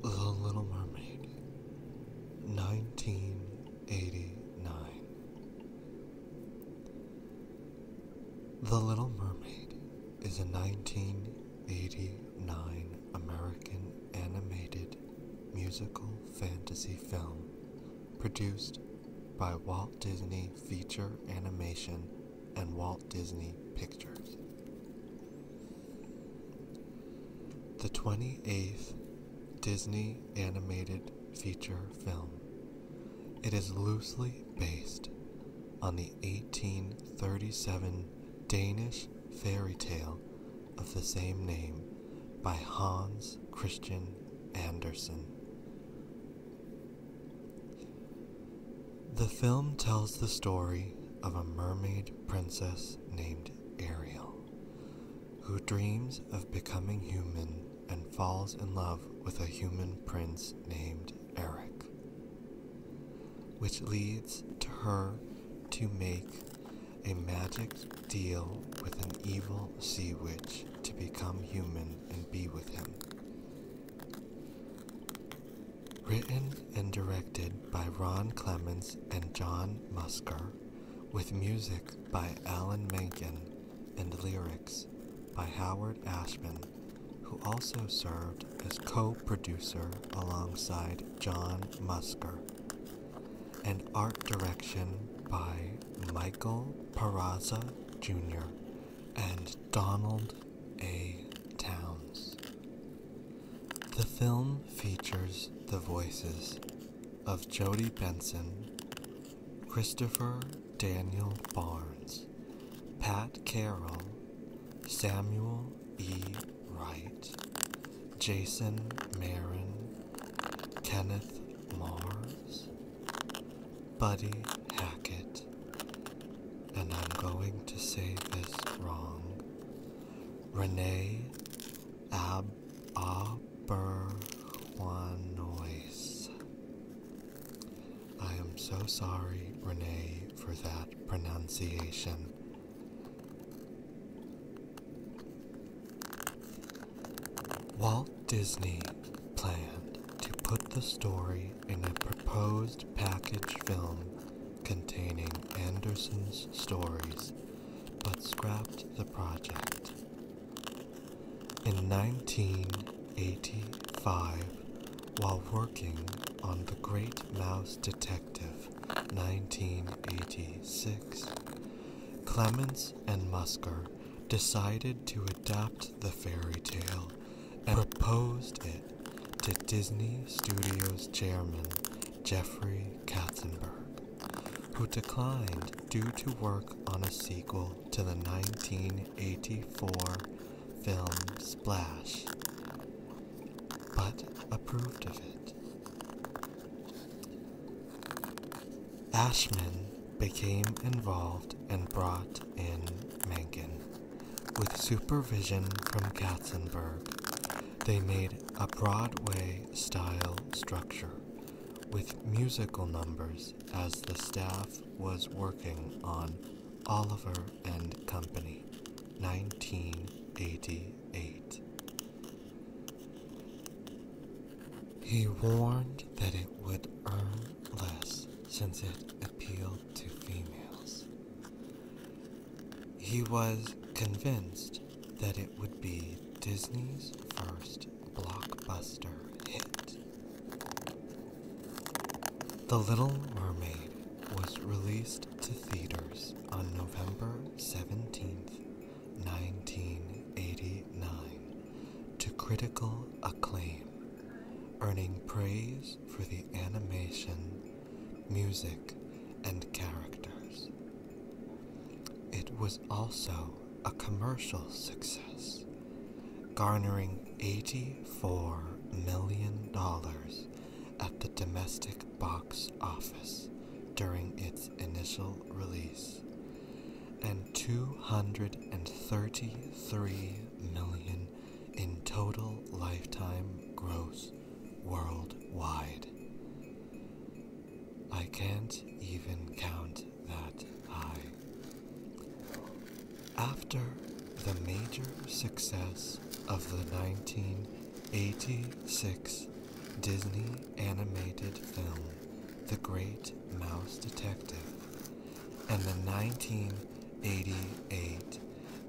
The Little Mermaid, 1989. The Little Mermaid is a 1989 American animated musical fantasy film produced by Walt Disney Feature Animation and Walt Disney Pictures. The 28th Disney animated feature film. It is loosely based on the 1837 Danish fairy tale of the same name by Hans Christian Andersen. The film tells the story of a mermaid princess named Ariel, who dreams of becoming human and falls in love with a human prince named Eric, which leads to her to make a magic deal with an evil sea witch to become human and be with him. Written and directed by Ron Clements and John Musker, with music by Alan Menken and lyrics by Howard Ashman, who also served as co producer alongside John Musker, and art direction by Michael Peraza Jr. and Donald A. Towns. The film features the voices of Jodie Benson, Christopher Daniel Barnes, Pat Carroll, Samuel E. Wright, Jason Marin, Kenneth Mars, Buddy Hackett, and I'm going to say this wrong. Renee Ab Aberwanois. I am so sorry, Renee, for that pronunciation. Walt Disney planned to put the story in a proposed package film containing Anderson's stories, but scrapped the project. In 1985, while working on The Great Mouse Detective 1986, Clemens and Musker decided to adapt the fairy tale and opposed it to Disney Studios chairman Jeffrey Katzenberg, who declined due to work on a sequel to the 1984 film Splash, but approved of it. Ashman became involved and brought in Mencken with supervision from Katzenberg, they made a Broadway style structure with musical numbers as the staff was working on Oliver and Company, 1988. He warned that it would earn less since it appealed to females. He was convinced that it would be Disney's first blockbuster hit. The Little Mermaid was released to theaters on November 17, 1989, to critical acclaim, earning praise for the animation, music, and characters. It was also a commercial success, garnering $84 million at the domestic box office during its initial release and $233 million in total lifetime gross worldwide. I can't even count that high. After the major success of the 1986 Disney animated film The Great Mouse Detective and the 19 88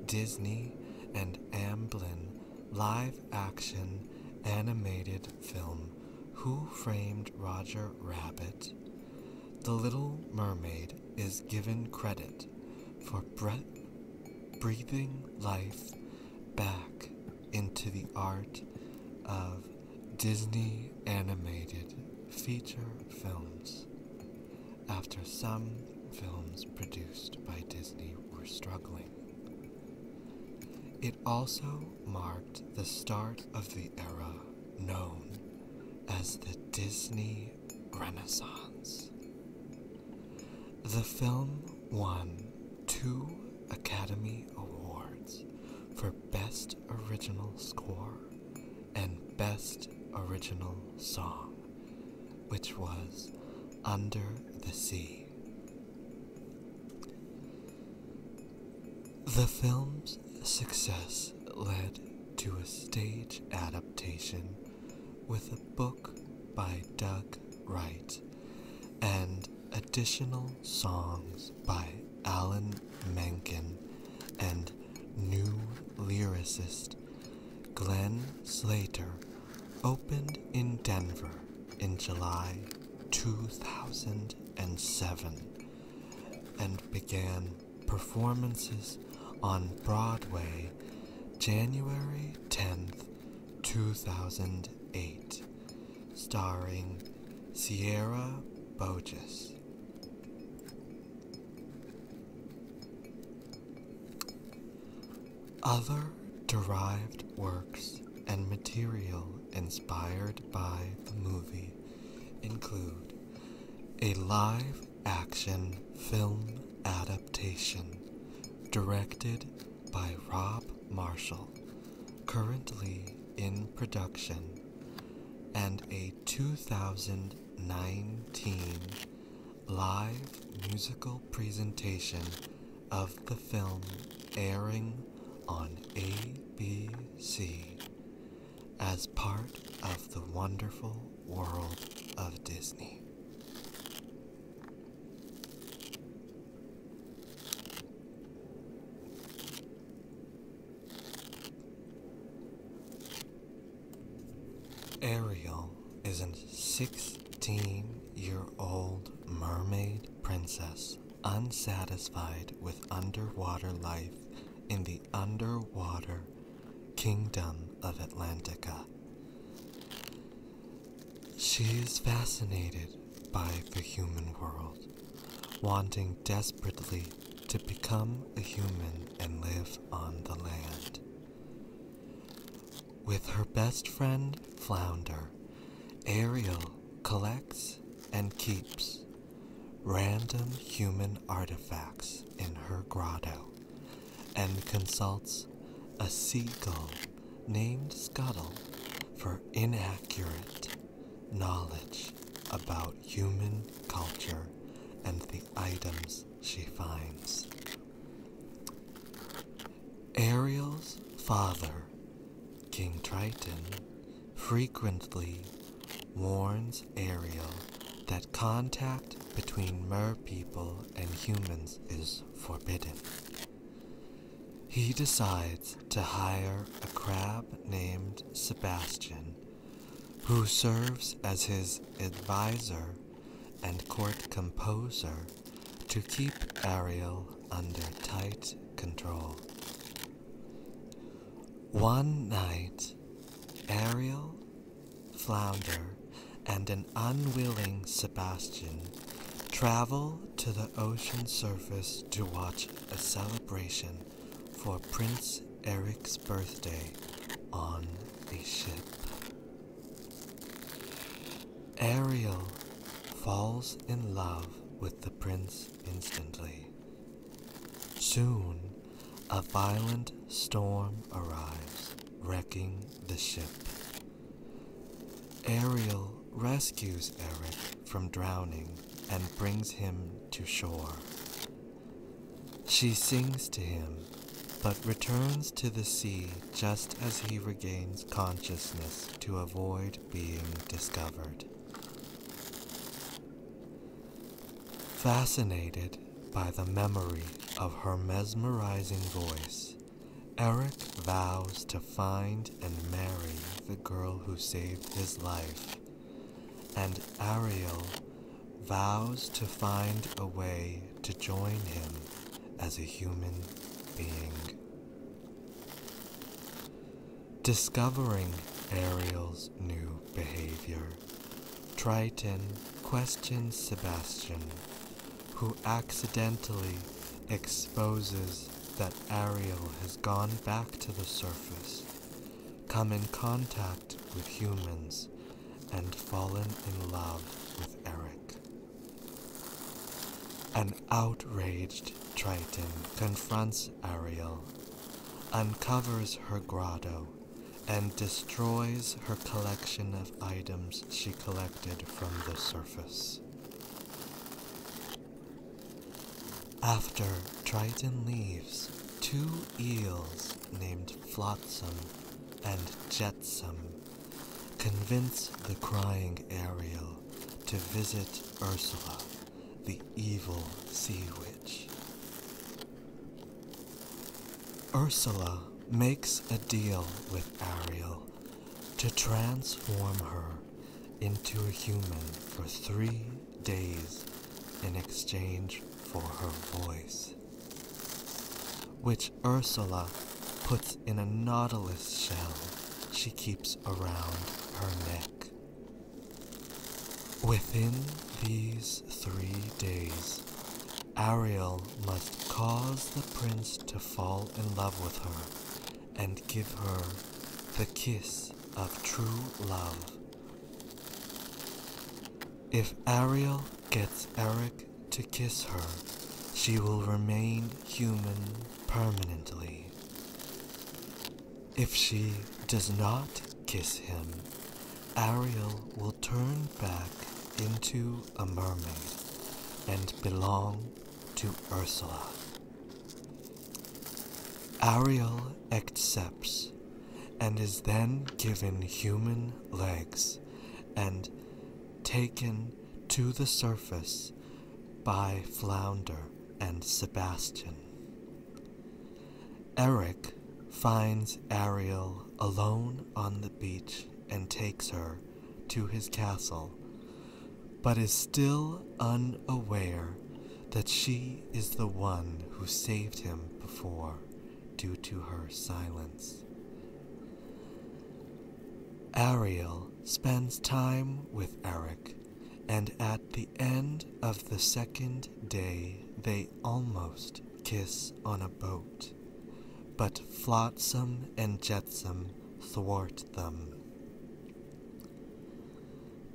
Disney and Amblin live action animated film Who Framed Roger Rabbit? The Little Mermaid is given credit for breath breathing life back into the art of Disney animated feature films after some films produced by Disney were struggling. It also marked the start of the era known as the Disney Renaissance. The film won two Academy Awards for Best Original Score and Best Original Song, which was Under the Sea. The film's success led to a stage adaptation with a book by Doug Wright and additional songs by Alan Menken and new lyricist Glenn Slater opened in Denver in July 2007 and began performances on Broadway January 10th, 2008, starring Sierra Bogus. Other derived works and material inspired by the movie include a live action film adaptation directed by Rob Marshall, currently in production, and a 2000 2019 live musical presentation of the film airing on ABC as part of the wonderful world of Disney. Ariel is a 16 year old mermaid princess unsatisfied with underwater life in the underwater kingdom of Atlantica. She is fascinated by the human world, wanting desperately to become a human and live on the land. With her best friend, Flounder, Ariel collects and keeps random human artifacts in her grotto and consults a seagull named Scuttle for inaccurate knowledge about human culture and items she finds. Ariel's father, King Triton, frequently warns Ariel that contact between merpeople and humans is forbidden. He decides to hire a crab named Sebastian who serves as his advisor and court composer to keep Ariel under tight control. One night, Ariel, Flounder, and an unwilling Sebastian travel to the ocean surface to watch a celebration for Prince Eric's birthday on a ship. Ariel falls in love with the prince instantly. Soon, a violent storm arrives, wrecking the ship. Ariel rescues Eric from drowning and brings him to shore. She sings to him, but returns to the sea just as he regains consciousness to avoid being discovered. Fascinated by the memory of her mesmerizing voice, Eric vows to find and marry the girl who saved his life and Ariel vows to find a way to join him as a human being. Discovering Ariel's new behavior, Triton questions Sebastian, who accidentally exposes that Ariel has gone back to the surface, come in contact with humans and fallen in love with Eric. An outraged Triton confronts Ariel, uncovers her grotto, and destroys her collection of items she collected from the surface. After Triton leaves, two eels named Flotsam and Jetsam convince the crying Ariel to visit Ursula, the evil sea witch. Ursula makes a deal with Ariel to transform her into a human for three days in exchange for her voice, which Ursula puts in a nautilus shell she keeps around her neck. Within these three days, Ariel must cause the prince to fall in love with her and give her the kiss of true love if Ariel gets Eric to kiss her, she will remain human permanently. If she does not kiss him, Ariel will turn back into a mermaid and belong to Ursula. Ariel accepts and is then given human legs and taken to the surface by Flounder and Sebastian. Eric finds Ariel alone on the beach and takes her to his castle, but is still unaware that she is the one who saved him before due to her silence. Ariel spends time with Eric, and at the end of the second day, they almost kiss on a boat, but Flotsam and Jetsam thwart them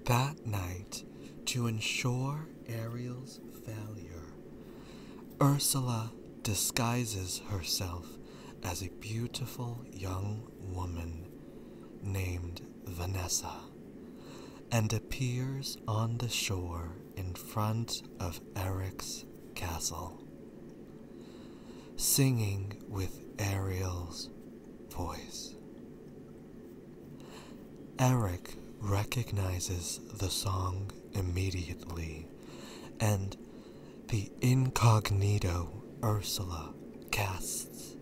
that night to ensure Ariel's failure. Ursula disguises herself as a beautiful young woman named Vanessa and appears on the shore in front of Eric's castle, singing with Ariel's voice. Eric recognizes the song immediately, and the incognito Ursula casts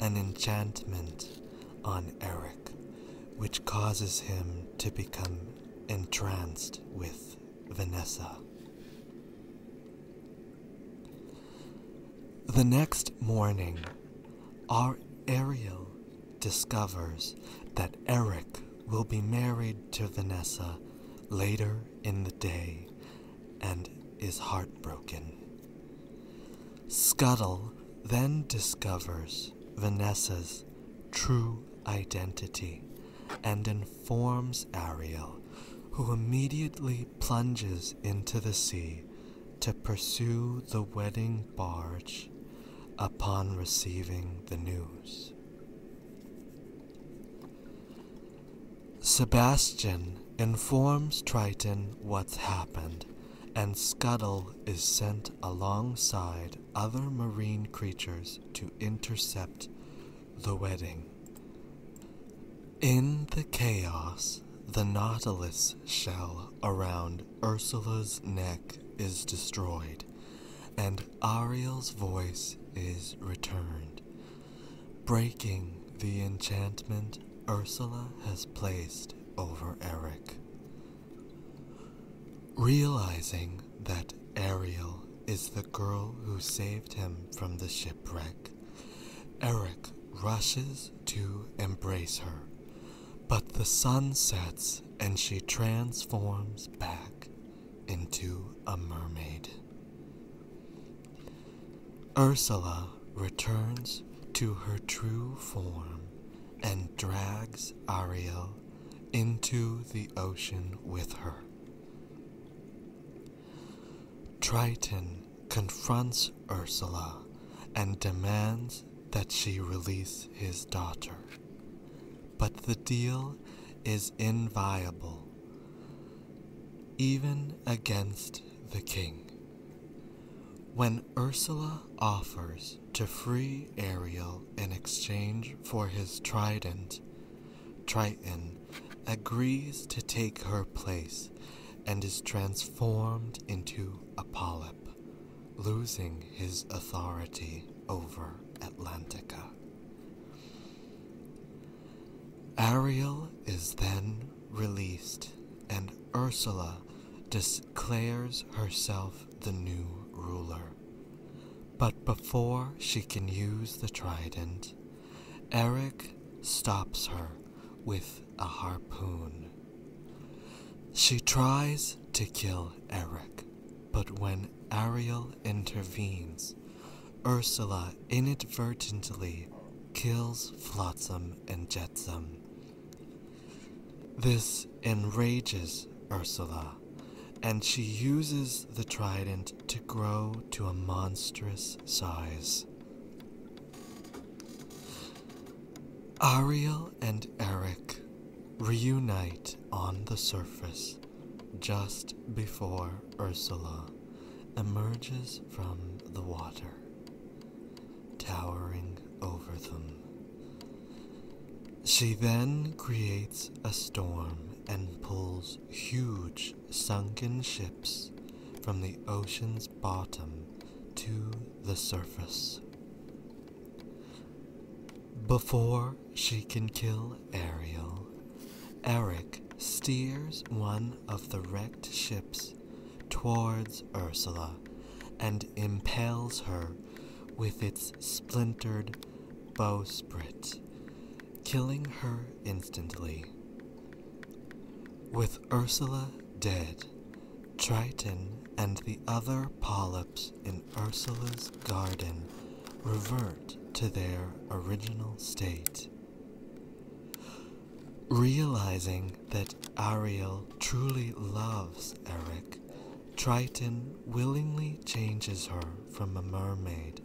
an enchantment on Eric, which causes him to become entranced with Vanessa. The next morning, our Ariel discovers that Eric will be married to Vanessa later in the day and is heartbroken. Scuttle then discovers Vanessa's true identity and informs Ariel, who immediately plunges into the sea to pursue the wedding barge upon receiving the news. Sebastian informs Triton what's happened, and Scuttle is sent alongside other marine creatures to intercept the wedding. In the chaos, the Nautilus shell around Ursula's neck is destroyed, and Ariel's voice is returned, breaking the enchantment Ursula has placed over Eric. Realizing that Ariel is the girl who saved him from the shipwreck, Eric rushes to embrace her, but the sun sets and she transforms back into a mermaid. Ursula returns to her true form and drags Ariel into the ocean with her. Triton confronts Ursula and demands that she release his daughter. But the deal is inviolable, even against the king. When Ursula offers to free Ariel in exchange for his trident, Triton agrees to take her place and is transformed into become a polyp, losing his authority over Atlantica. Ariel is then released, and Ursula declares herself the new ruler. But before she can use the trident, Eric stops her with a harpoon. She tries to kill Eric, but when Ariel intervenes, Ursula inadvertently kills Flotsam and Jetsam. This enrages Ursula, and she uses the trident to grow to a monstrous size. Ariel and Eric reunite on the surface just before Ursula emerges from the water, towering over them. She then creates a storm and pulls huge sunken ships from the ocean's bottom to the surface. Before she can kill Ariel, Eric steers one of the wrecked ships towards Ursula and impales her with its splintered bowsprit, killing her instantly. With Ursula dead, Triton and the other polyps in Ursula's garden revert to their original state. Realizing that Ariel truly loves Eric, Triton willingly changes her from a mermaid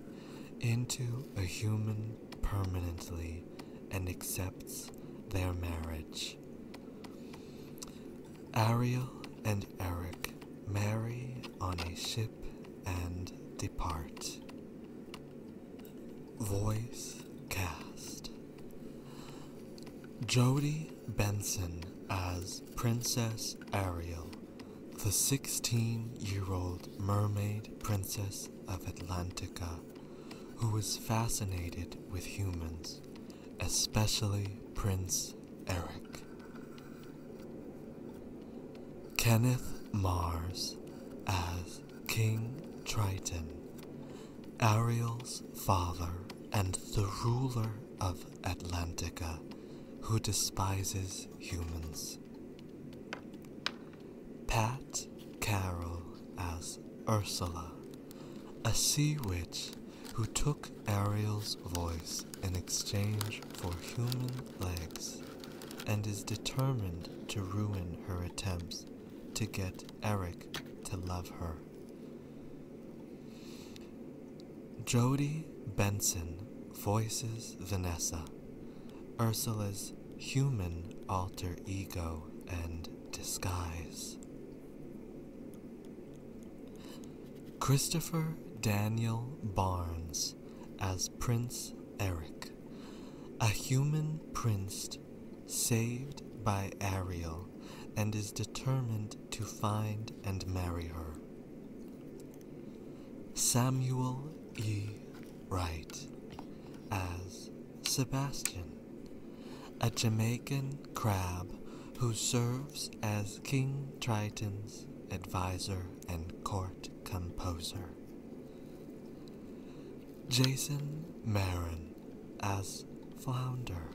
into a human permanently and accepts their marriage. Ariel and Eric marry on a ship and depart. Voice cast Jodie Benson as Princess Ariel, the 16 year old mermaid princess of Atlantica who is fascinated with humans, especially Prince Eric. Kenneth Mars as King Triton, Ariel's father and the ruler of Atlantica, who despises humans. Pat Carroll as Ursula, a sea witch who took Ariel's voice in exchange for human legs and is determined to ruin her attempts to get Eric to love her. Jodie Benson voices Vanessa, Ursula's human alter ego and disguise. Christopher Daniel Barnes as Prince Eric, a human prince saved by Ariel and is determined to find and marry her. Samuel E. Wright as Sebastian, a Jamaican crab who serves as King Triton's adviser and court composer. Jason Marin as Flounder,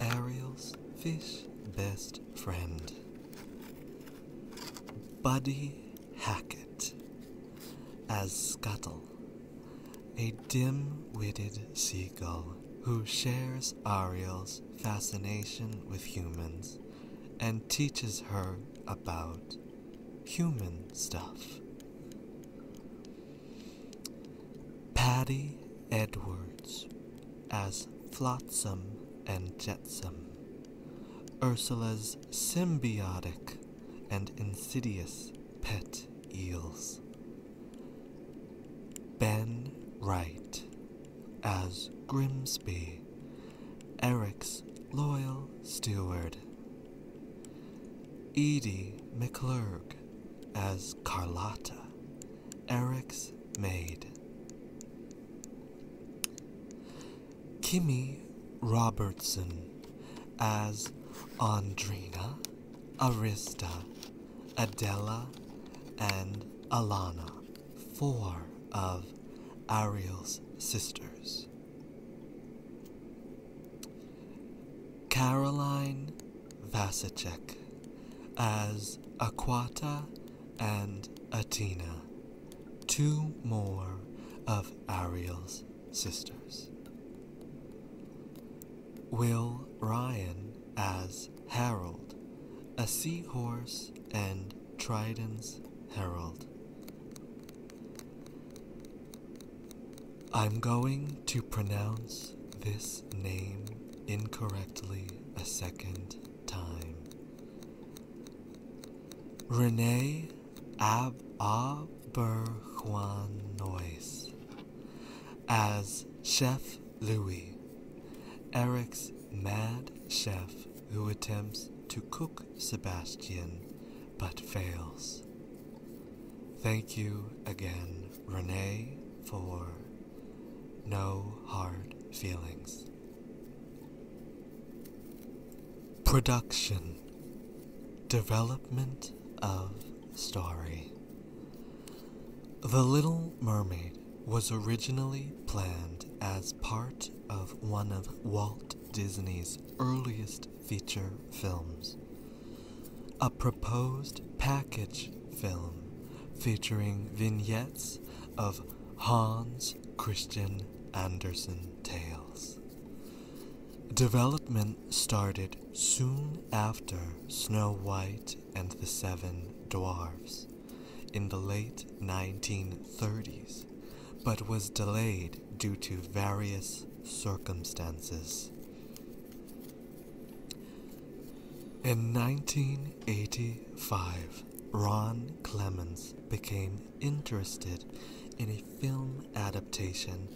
Ariel's fish best friend. Buddy Hackett as Scuttle, a dim witted seagull who shares Ariel's fascination with humans and teaches her about human stuff. Patty Edwards as Flotsam and Jetsam, Ursula's symbiotic and insidious pet eels. Ben Wright as Grimsby, Eric's loyal steward. Edie McClurg as Carlotta, Eric's maid. Kimmy Robertson as Andrina, Arista, Adela, and Alana, four of Ariel's sisters. Caroline Vasicek as Aquata and Atina, two more of Ariel's sisters. Will Ryan as Harold, a seahorse and Trident's herald. I'm going to pronounce this name incorrectly a second time. Renee Aberquanois as Chef Louis, Eric's mad chef who attempts to cook Sebastian but fails. Thank you again, Renee, for no hard feelings. Production Development of Story The Little Mermaid was originally planned as part of one of Walt Disney's earliest feature films, a proposed package film featuring vignettes of Hans Christian Andersen tales. Development started soon after Snow White and the Seven Dwarfs in the late 1930s, but was delayed due to various circumstances. In 1985, Ron Clements became interested in a film adaptation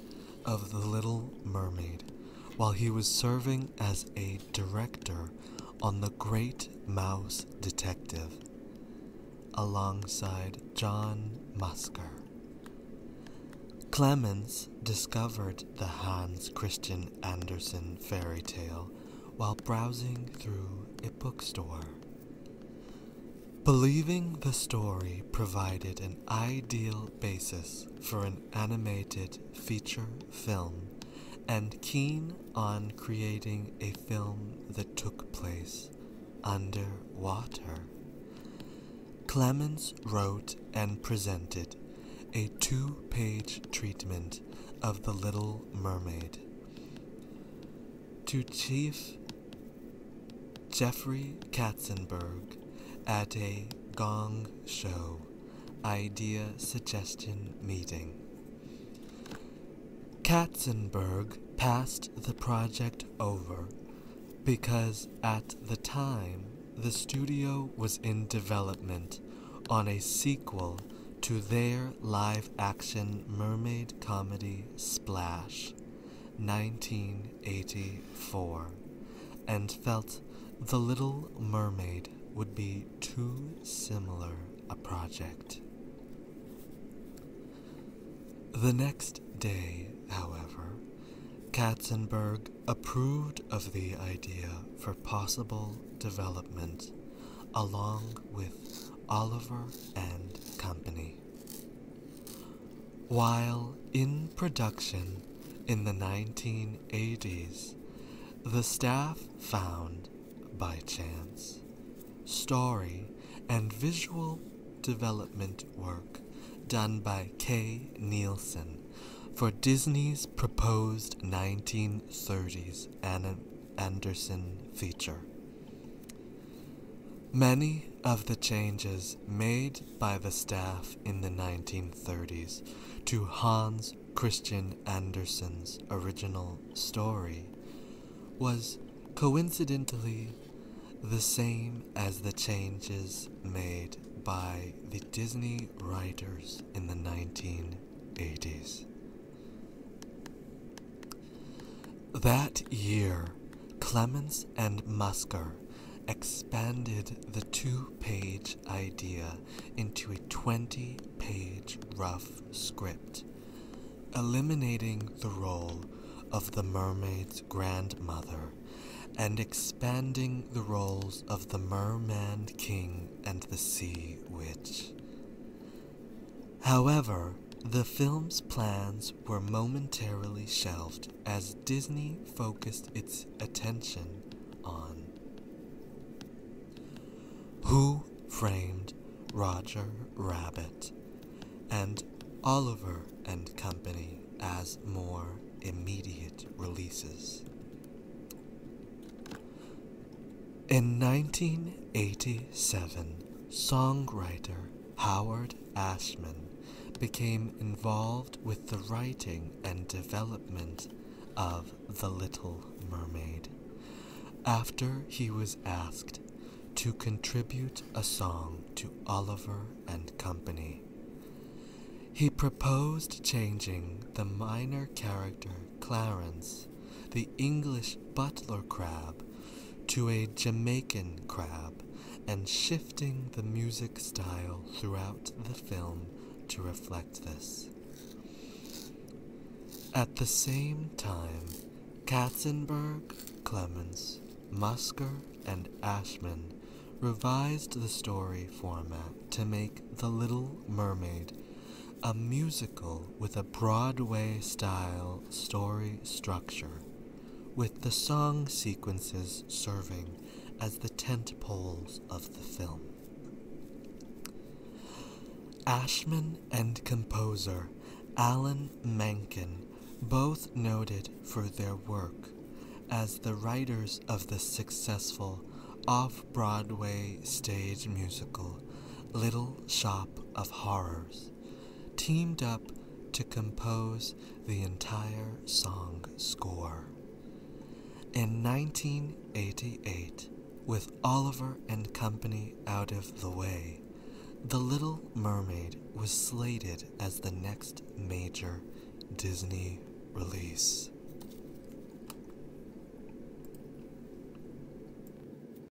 of The Little Mermaid while he was serving as a director on The Great Mouse Detective alongside John Musker. Clemens discovered the Hans Christian Andersen fairy tale while browsing through a bookstore. Believing the story provided an ideal basis for an animated feature film and keen on creating a film that took place underwater, Clemens wrote and presented a two page treatment of The Little Mermaid to Chief Jeffrey Katzenberg at a Gong Show Idea Suggestion Meeting. Katzenberg passed the project over because at the time the studio was in development on a sequel to their live action mermaid comedy Splash 1984 and felt The Little Mermaid would be too similar a project. The next day, however, Katzenberg approved of the idea for possible development along with Oliver and Company. While in production in the 1980s, the staff found, by chance, story and visual development work done by Kay Nielsen for Disney's proposed 1930s Anna Anderson feature. Many of the changes made by the staff in the 1930s to Hans Christian Andersen's original story was coincidentally the same as the changes made by the Disney writers in the 1980s. That year, Clemens and Musker expanded the two page idea into a 20 page rough script, eliminating the role of the mermaid's grandmother and expanding the roles of the merman king and the sea witch. However, the film's plans were momentarily shelved as Disney focused its attention on Who Framed Roger Rabbit and Oliver and Company as more immediate releases. In 1987, songwriter Howard Ashman became involved with the writing and development of The Little Mermaid after he was asked to contribute a song to Oliver and Company. He proposed changing the minor character Clarence the English butler crab to a Jamaican crab and shifting the music style throughout the film to reflect this. At the same time, Katzenberg, Clemens, Musker, and Ashman revised the story format to make The Little Mermaid a musical with a Broadway style story structure, with the song sequences serving as the tent poles of the film. Ashman and composer Alan Menken both noted for their work as the writers of the successful off Broadway stage musical Little Shop of Horrors teamed up to compose the entire song score. In 1988, with Oliver and Company out of the way, The Little Mermaid was slated as the next major Disney release.